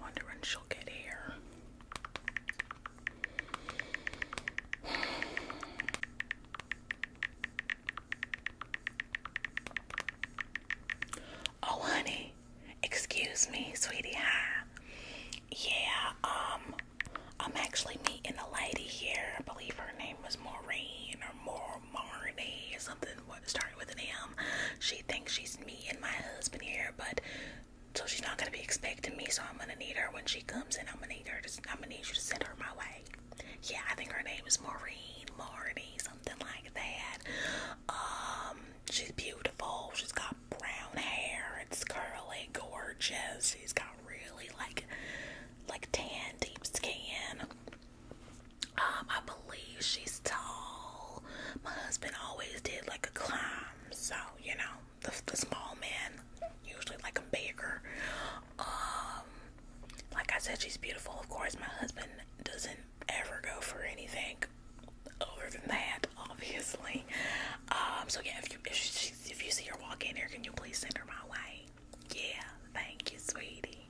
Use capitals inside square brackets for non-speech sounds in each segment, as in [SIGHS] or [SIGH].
Wondering she'll get here. [SIGHS] Oh, honey, Excuse me, sweetie. Hi. Yeah, um, I'm actually meeting a lady here. I believe her name was Maureen or More Marnie or something. What started with an M. She thinks she's me and my husband here, but so she's not gonna be expecting me. So I'm gonna need her when she comes in. I'm gonna need her. To, I'm gonna need you to send her my way. Yeah, I think her name was Maureen Marnie, something like that. Um, She's beautiful. She's got brown hair. It's curly, gorgeous. She's got really like like tan, deep skin. Um, I believe she's tall. My husband always did like a climb, so you know the, the small man usually like a baker. Um, like I said, she's beautiful. Of course, my husband doesn't ever go for anything other than that, obviously. Um, so yeah, if you if, you see her walk in here, can you please send her my way? Yeah, thank you, sweetie.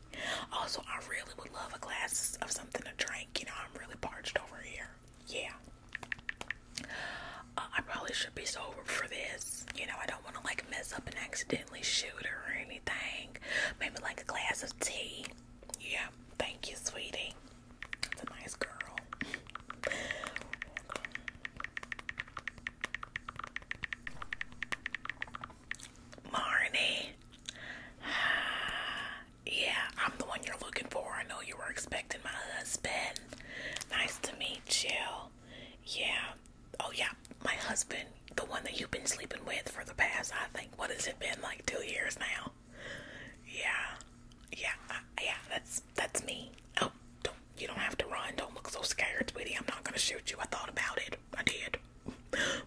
Also, I really would love a glass of something to drink. You know, I'm really parched over here. Yeah. Uh, I probably should be sober for this. You know, I don't want to like mess up and accidentally shoot her or anything. Maybe like a glass of tea. Yeah, thank you, sweetie. That's a nice girl. Marnie. Yeah, I'm the one you're looking for. I know you were expecting my husband. Nice to meet you. Yeah. Oh, yeah. My husband, the one that you've been sleeping with for the past, I think, what has it been, like two years now? Yeah, yeah, uh, yeah. That's that's me. Oh, don't you don't have to run. Don't look so scared, sweetie. I'm not gonna shoot you. I thought about it. I did.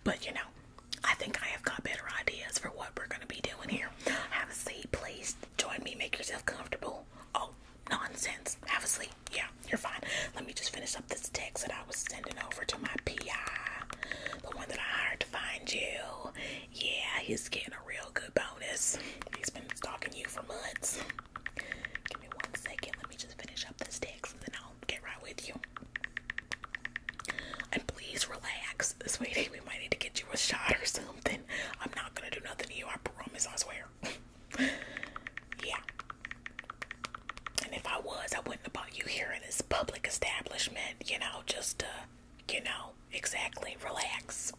But you know, I think I have got better ideas for what we're gonna be doing here. Have a seat, please. Join me. Make yourself comfortable. Oh, nonsense. Have a seat. Yeah, you're fine. Let me just finish up this text that I was sending over to my PI, the one that I hired to find you. Yeah, he's getting a real good bonus. He's been stalking you for months. Give me one second. Let me just finish up this text and then I'll get right with you. And please relax, sweetie. We might need to get you a shot or something. I'm not gonna do nothing to you. I promise. I swear. [LAUGHS] yeah. And if I was, I wouldn't have brought you here in this public establishment. You know, just to you know, exactly, relax.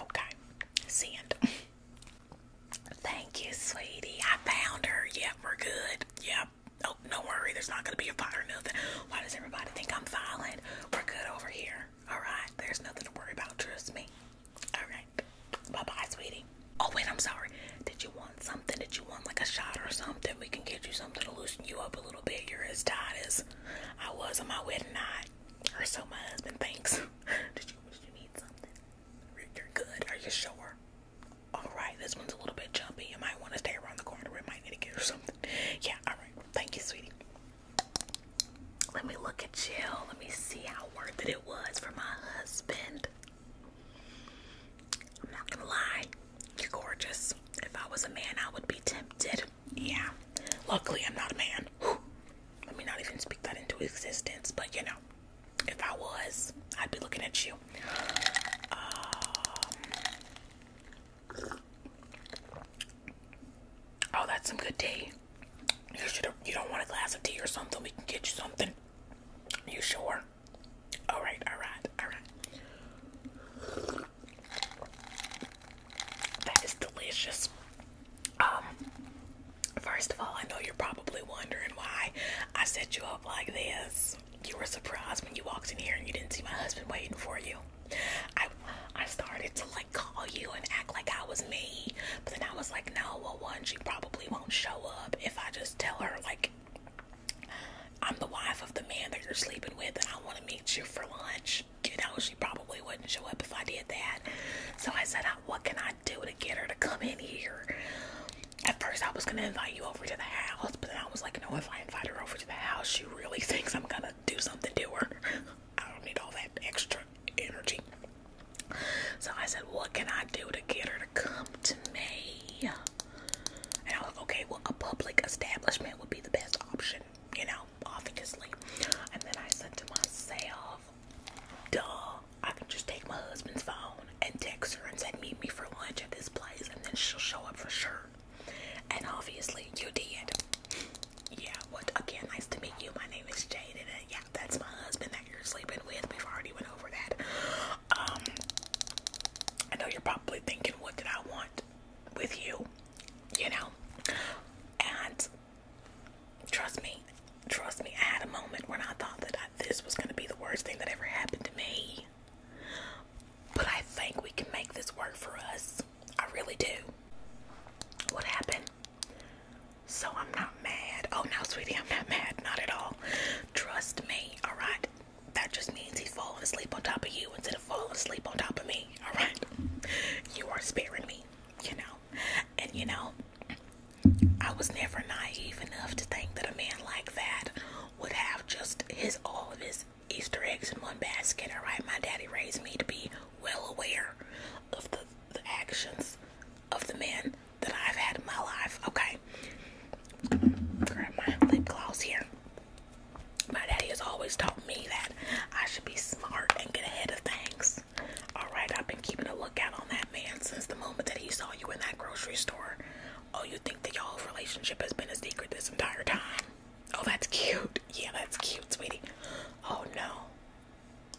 Okay, send. Thank you, sweetie. I found her. Yep, we're good. Yep. Oh, no worry. There's not going to be a fight or nothing. Why does everybody think I'm violent? We're good over here. All right. There's nothing to worry about. Trust me. All right. Bye-bye, sweetie. Oh, wait. I'm sorry. Did you want something that you want, like a shot or something. We can get you something to loosen you up a little bit. You're as tired as I was on my wedding night, or so my husband thinks. [LAUGHS] Did you wish you need something? You're good. Are you sure? All right. This one's a little bit jumpy. You might want to stay around the corner. We might need to get you something. Yeah. All right. Thank you, sweetie. Let me look at Jill. Let me see how worth it it was for my husband. I'm not gonna lie, you're gorgeous. If I was a man, I would be tempted. Yeah. Luckily, I'm not a man. Whew. Let me not even speak that into existence, but you know, if I was, I'd be looking at you. Um, oh, that's some good tea. You should. You don't want a glass of tea or something? We can get you something. You sure? All right, all right, all right. That is delicious. Um, first of all, I know you're probably wondering why I set you up like this. You were surprised when you walked in here and you didn't see my husband waiting for you. I I started to like call you and act like I was me, but then I was like, no, well, one, she probably won't show up if I just tell her like I'm the wife of the man that you're sleeping with, and I want to meet you for lunch. You know, she probably wouldn't show up if I did that. So I said, What can I do to get her to come in here? At first, I was going to invite you over to the house, but then I was like, No, if I invite her over to the house, she really [LAUGHS] thinks I'm going to do something to her. [LAUGHS] I don't need all that extra energy. So I said, What can I do to get her to come to me? And I was like, okay, well, a public establishment would be the best option, you know, obviously. And then I said to myself, duh, I can just take my husband's phone and text her and say, meet me for lunch at this place, and then she'll show up for sure. And obviously, you did. Yeah, what again, nice to meet you. My name is Jane, and uh, yeah, that's my husband that you're sleeping with. We've already went over that. Um, I know you're probably thinking, what did I want with you? You know? And trust me, trust me, I had a moment when I thought that this was going to be the worst thing that ever happened to me. But I think we can make this work for us. I really do. What happened? So I'm not mad. Oh, now, sweetie, I'm not mad. Not at all. Trust me, all right? that just means he's falling asleep on top of you instead of falling asleep on top of me. All right, you are sparing me, you know. And you know, I was never naive enough to think that a man like that would have just his all of his Easter eggs in one basket. All right, my daddy raised me to be well aware of the, the actions of the men that I've had in my life. Okay, grab my lip gloss here. My daddy has always taught me that I should be smart and get ahead of things. All right, I've been keeping a lookout on that man since the moment that he saw you in that grocery store. Oh, you think that y'all's relationship has been a secret this entire time? Oh, that's cute. Yeah, that's cute, sweetie. Oh, no.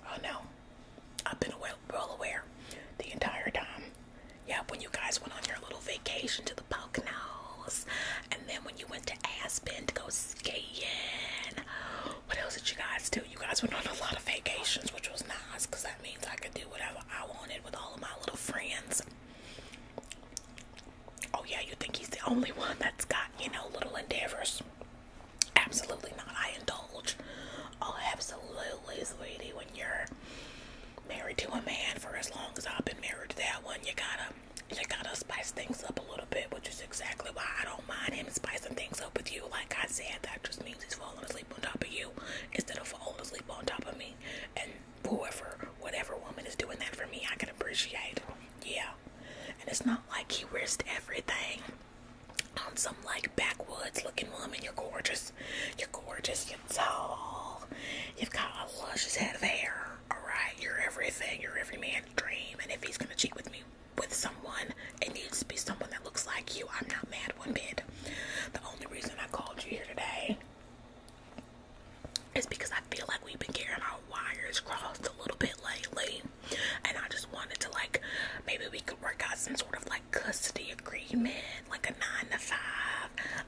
Oh, no. I've been well, well aware the entire time. Yeah, when you guys went on your little vacation to the Poconos, and then when you went to Aspen to go skiing. What else did you guys do? You guys went on a lot of vacations, which was nice because that means I could do whatever I wanted with all of my little friends. Oh, yeah, you think he's the only one that's got, you know, little endeavors? Absolutely not. I indulge. Oh, absolutely, sweetie. When you're married to a man for as long as I've been married to that one, you gotta you gotta spice things up a little bit, which is exactly why I don't mind him spicing things up with you. Like I said, that just means he's falling asleep on top of you instead of falling asleep on top of me. And whoever, whatever woman is doing that for me, I can appreciate. Yeah. And it's not like he risked everything on some like backwoods looking woman. You're gorgeous. You're gorgeous. You're tall. You've got a luscious head of hair. Alright, you're everything. You're every man's dream. And if he's gonna cheat with me with someone, it needs to be someone that looks like you. I'm not mad one bit. The only reason I called you here today is because I feel like we've been getting our wires crossed a little bit lately. And I just wanted to like maybe we could work out some sort of like custody agreement, like a nine to five.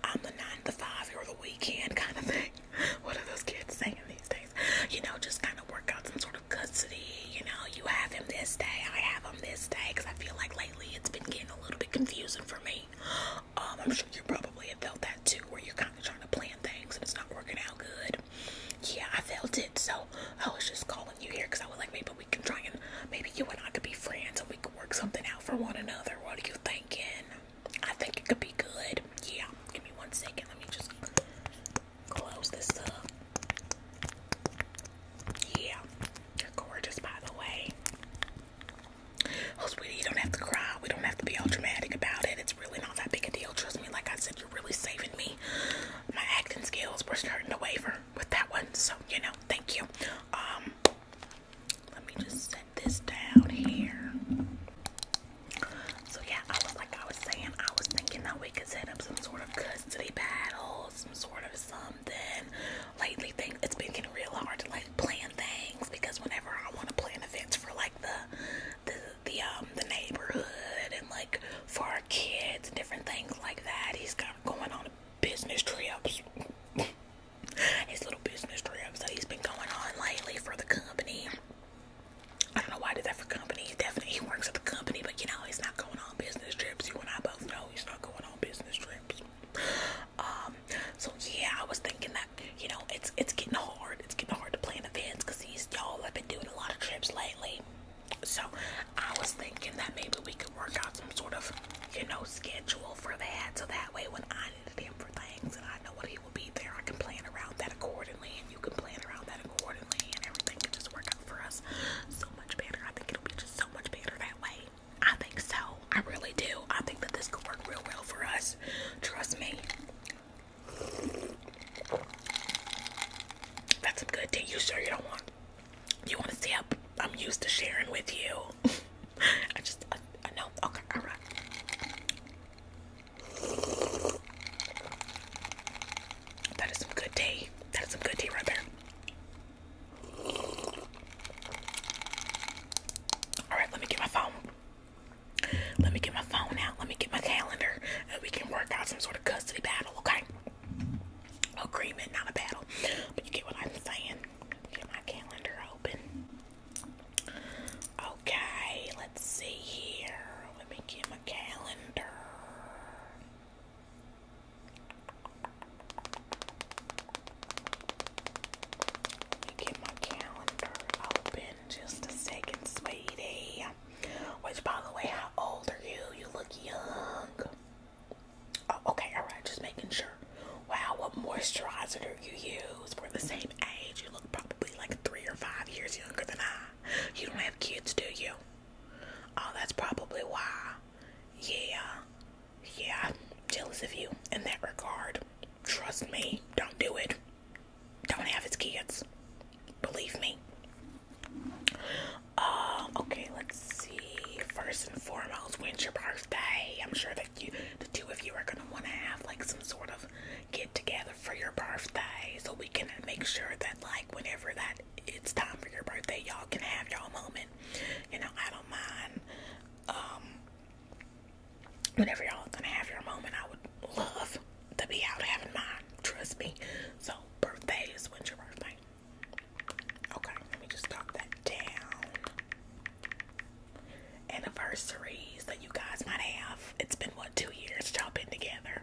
I'm the nine to five, you're the weekend kind of thing. [LAUGHS] What are those kids saying these days? You know, just kind of work out some sort of custody. You know, you have him this day, I have him this day, I feel like lately it's been getting a little bit confusing for me. Um, I'm sure you probably have felt that too, where you're kind of trying to plan things and it's not working out good. Yeah, I felt it, so I was just calling you here because I was like, maybe maybe you and I could be friends and we could work something out for one another. What are you thinking? I think it could be good. Yeah, give me one second. Let me just close this up. Yeah, you're gorgeous, by the way. Oh, sweetie, you don't have to cry. We don't have to be all dramatic about it. It's really not that big a deal. Trust me, like I said, you're really saving me. My acting skills were starting to waver with that one. So, you know, thank you. Um, let me just set this down here. So yeah, like I was saying, I was thinking that we could set up some sort of custody battle, some sort of something. Lately, things it's been getting real hard to like plan things because whenever I want to plan events for like the the um the neighborhood and like for our kids and different things like that, he's got going on business trips his little business trips that he's been going on lately for the company. I don't know why I did that for company. Definitely he works at the company, but you know, he's not going on business trips. You and I both know he's not going on business trips. Um, so yeah, I was thinking that, you know, it's it's getting hard. It's getting hard to plan events because he's y'all have been doing a lot of trips lately. So I was thinking that maybe we could can work out some sort of, you know, schedule for that. So that way, when I needed him for things and I know when he will be there, I can plan around that accordingly, and you can plan around that accordingly, and everything can just work out for us so much better. I think it'll be just so much better that way. I think so. I really do. I think that this could work real well for us. Trust me. That's some good tea. You sure you don't want you want to see how I'm used to sharing with you? [LAUGHS] I just, I, know. Okay, all right. That is some good tea. That is some good tea right there. All right, let me get my phone. Let me get my phone out. Let me get my calendar. And we can work out some sort of custody battle, okay? Agreement, not a battle. But you get what I'm saying. Get my calendar open. Okay, let's see here. Let me get my calendar. Let me get my calendar open just a second, sweetie. Which, by the way, how old are you? You look young. Oh, okay, all right, just making sure. Wow, what moisturizer do you use? We're the same age. You look probably like three or five years younger than I. You don't have kids, do you? Oh, that's probably why. Yeah, yeah, jealous of you in that regard. Trust me, don't do it. Don't have his kids. Believe me. Uh, okay, let's see. First and foremost, when's your birthday? I'm sure that you, the two of you, are gonna want to have like some sort of get together for your birthday, so we can make sure that like whenever that it's time for your birthday, y'all can have y'all moment. You know, I don't mind. Um, whenever y'all gonna have your moment, I would love to be out having mine. Trust me. So birthday is when's your birthday? Okay, let me just talk that down. Anniversaries that you guys might have. It's been what two years y'all been together.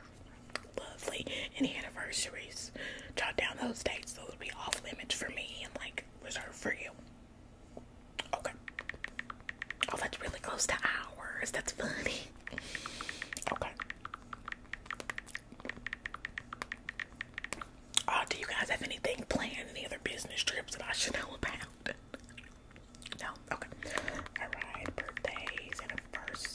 Lovely. Any anniversaries. Jot down those dates. Those would be awful limits for me and like reserved for you. Okay. Oh, that's really close to ours. That's funny. [LAUGHS] Okay. Oh, do you guys have anything planned? Any other business trips that I should know about? No? Okay. Alright, birthdays, anniversaries.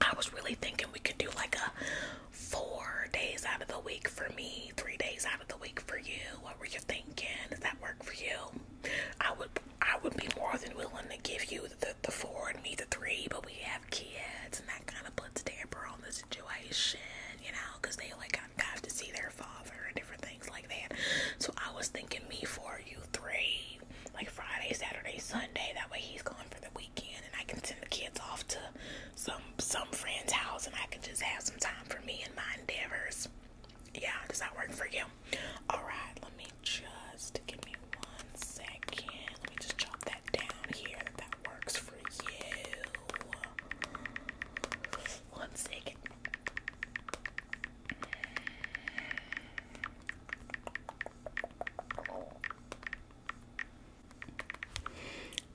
I was really thinking we could do like a four days out of the week for me, three days out of the week for you. What were you thinking? Does that work for you? I would I would be more than willing to give you the, the four and me the three, but we have kids, and that kind of puts damper on the situation, you know, because they like have to see their father and different things like that. So I was thinking me four, you three, like Friday, Saturday, Sunday. That way he's gone for the weekend, and I can send the kids off to some some friend's house, and I can just have some time for me and my endeavors. Yeah, does that work for you? Alright, let me just give me one second. Let me just chop that down here that works for you. One second.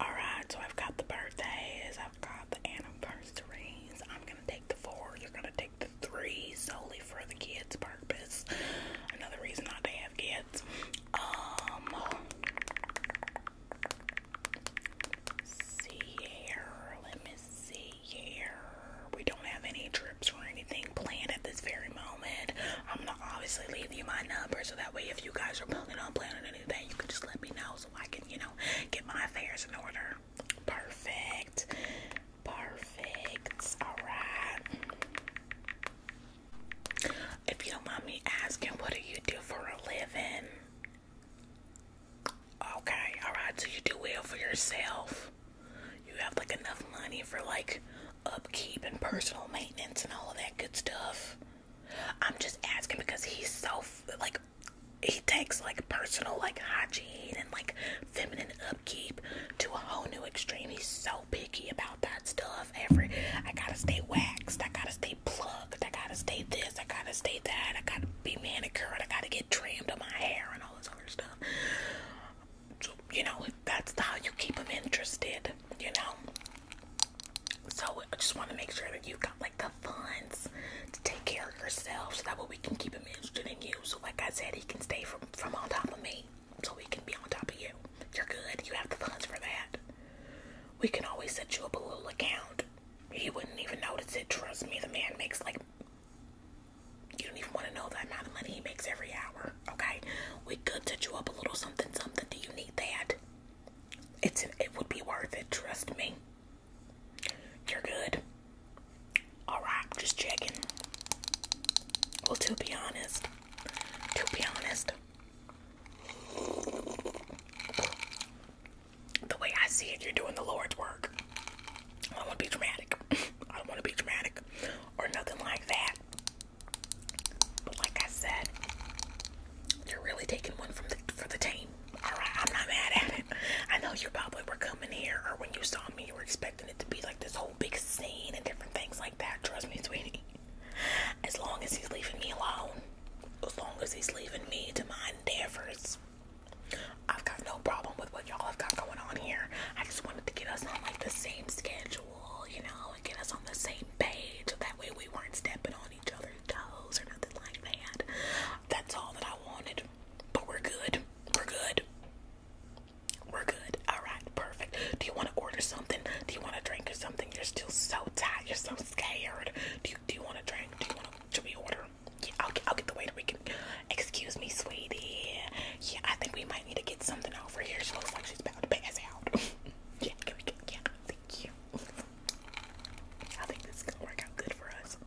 Alright, so I've got the birthdays, I've got the anniversaries. I'm gonna take the four, you're gonna take the three solely for the kids' purpose. Another reason not have kids. Um, see here. Let me see here. We don't have any trips or anything planned at this very moment. I'm gonna obviously leave you my number so that way if you guys are planning on planning anything, you can just let me know so I can, you know, get my affairs in order. Perfect. Perfect. All right. If you don't mind me asking, what do you do for a living? Okay. All right. So you do well for yourself. You have like enough money for like upkeep and personal maintenance and all that good stuff. I'm just asking because he's so like he takes like personal like hygiene and like feminine upkeep to a whole new extreme. He's so picky about that stuff. Every I gotta stay waxed, I gotta stay plucked, I gotta stay this, I gotta stay that, I gotta be manicured, I gotta get trimmed on my hair and all this other stuff. So, you know, that's how you keep him interested, you know. So I just want to make sure that you have got like the funds to take care of yourself so that way we can keep him interested in you. So like I said, he can stay for from on top of me so we can be on top of you. You're good. You have the funds for that. We can always set you up a little account. He wouldn't even notice it. Trust me, the man makes like you don't even want to know the amount of money he makes every hour. Okay, we could set you up a little something, something. Do you need that? It's it would be worth it. Trust me. You're good. Alright, right, I'm just checking. Well, to be honest, to be honest, the way I see it, you're doing the Lord's work. I don't want to be dramatic. [LAUGHS] I don't want to be dramatic or nothing like that. But like I said, you're really taking one from the for the team. Alright, I'm not mad at it. [LAUGHS] I know you probably were coming here or when you saw me you were expecting it to be like this whole big scene and different things like that. Trust me, sweetie. As long as he's leaving me alone, as long as he's leaving me to my endeavors, I've got no problem with what y'all have got going on here. I just wanted to get us on like the same schedule, you know, and get us on the same page. so That way we weren't stepping on each other's toes or nothing like that. That's all that I wanted. But we're good. We're good. We're good. All right, perfect. Do you want to order something? Do you want to drink or something? You're still so tired. You're so scared. Do you do you want to drink? Do you want to? Should order? Yeah, I'll get, I'll get the waiter. We can. Excuse me, sweetie. Yeah, I think we might need to get something over here. She looks like she's about to pass out. [LAUGHS] yeah, can we get, yeah. Thank you. I think this is gonna work out good for us.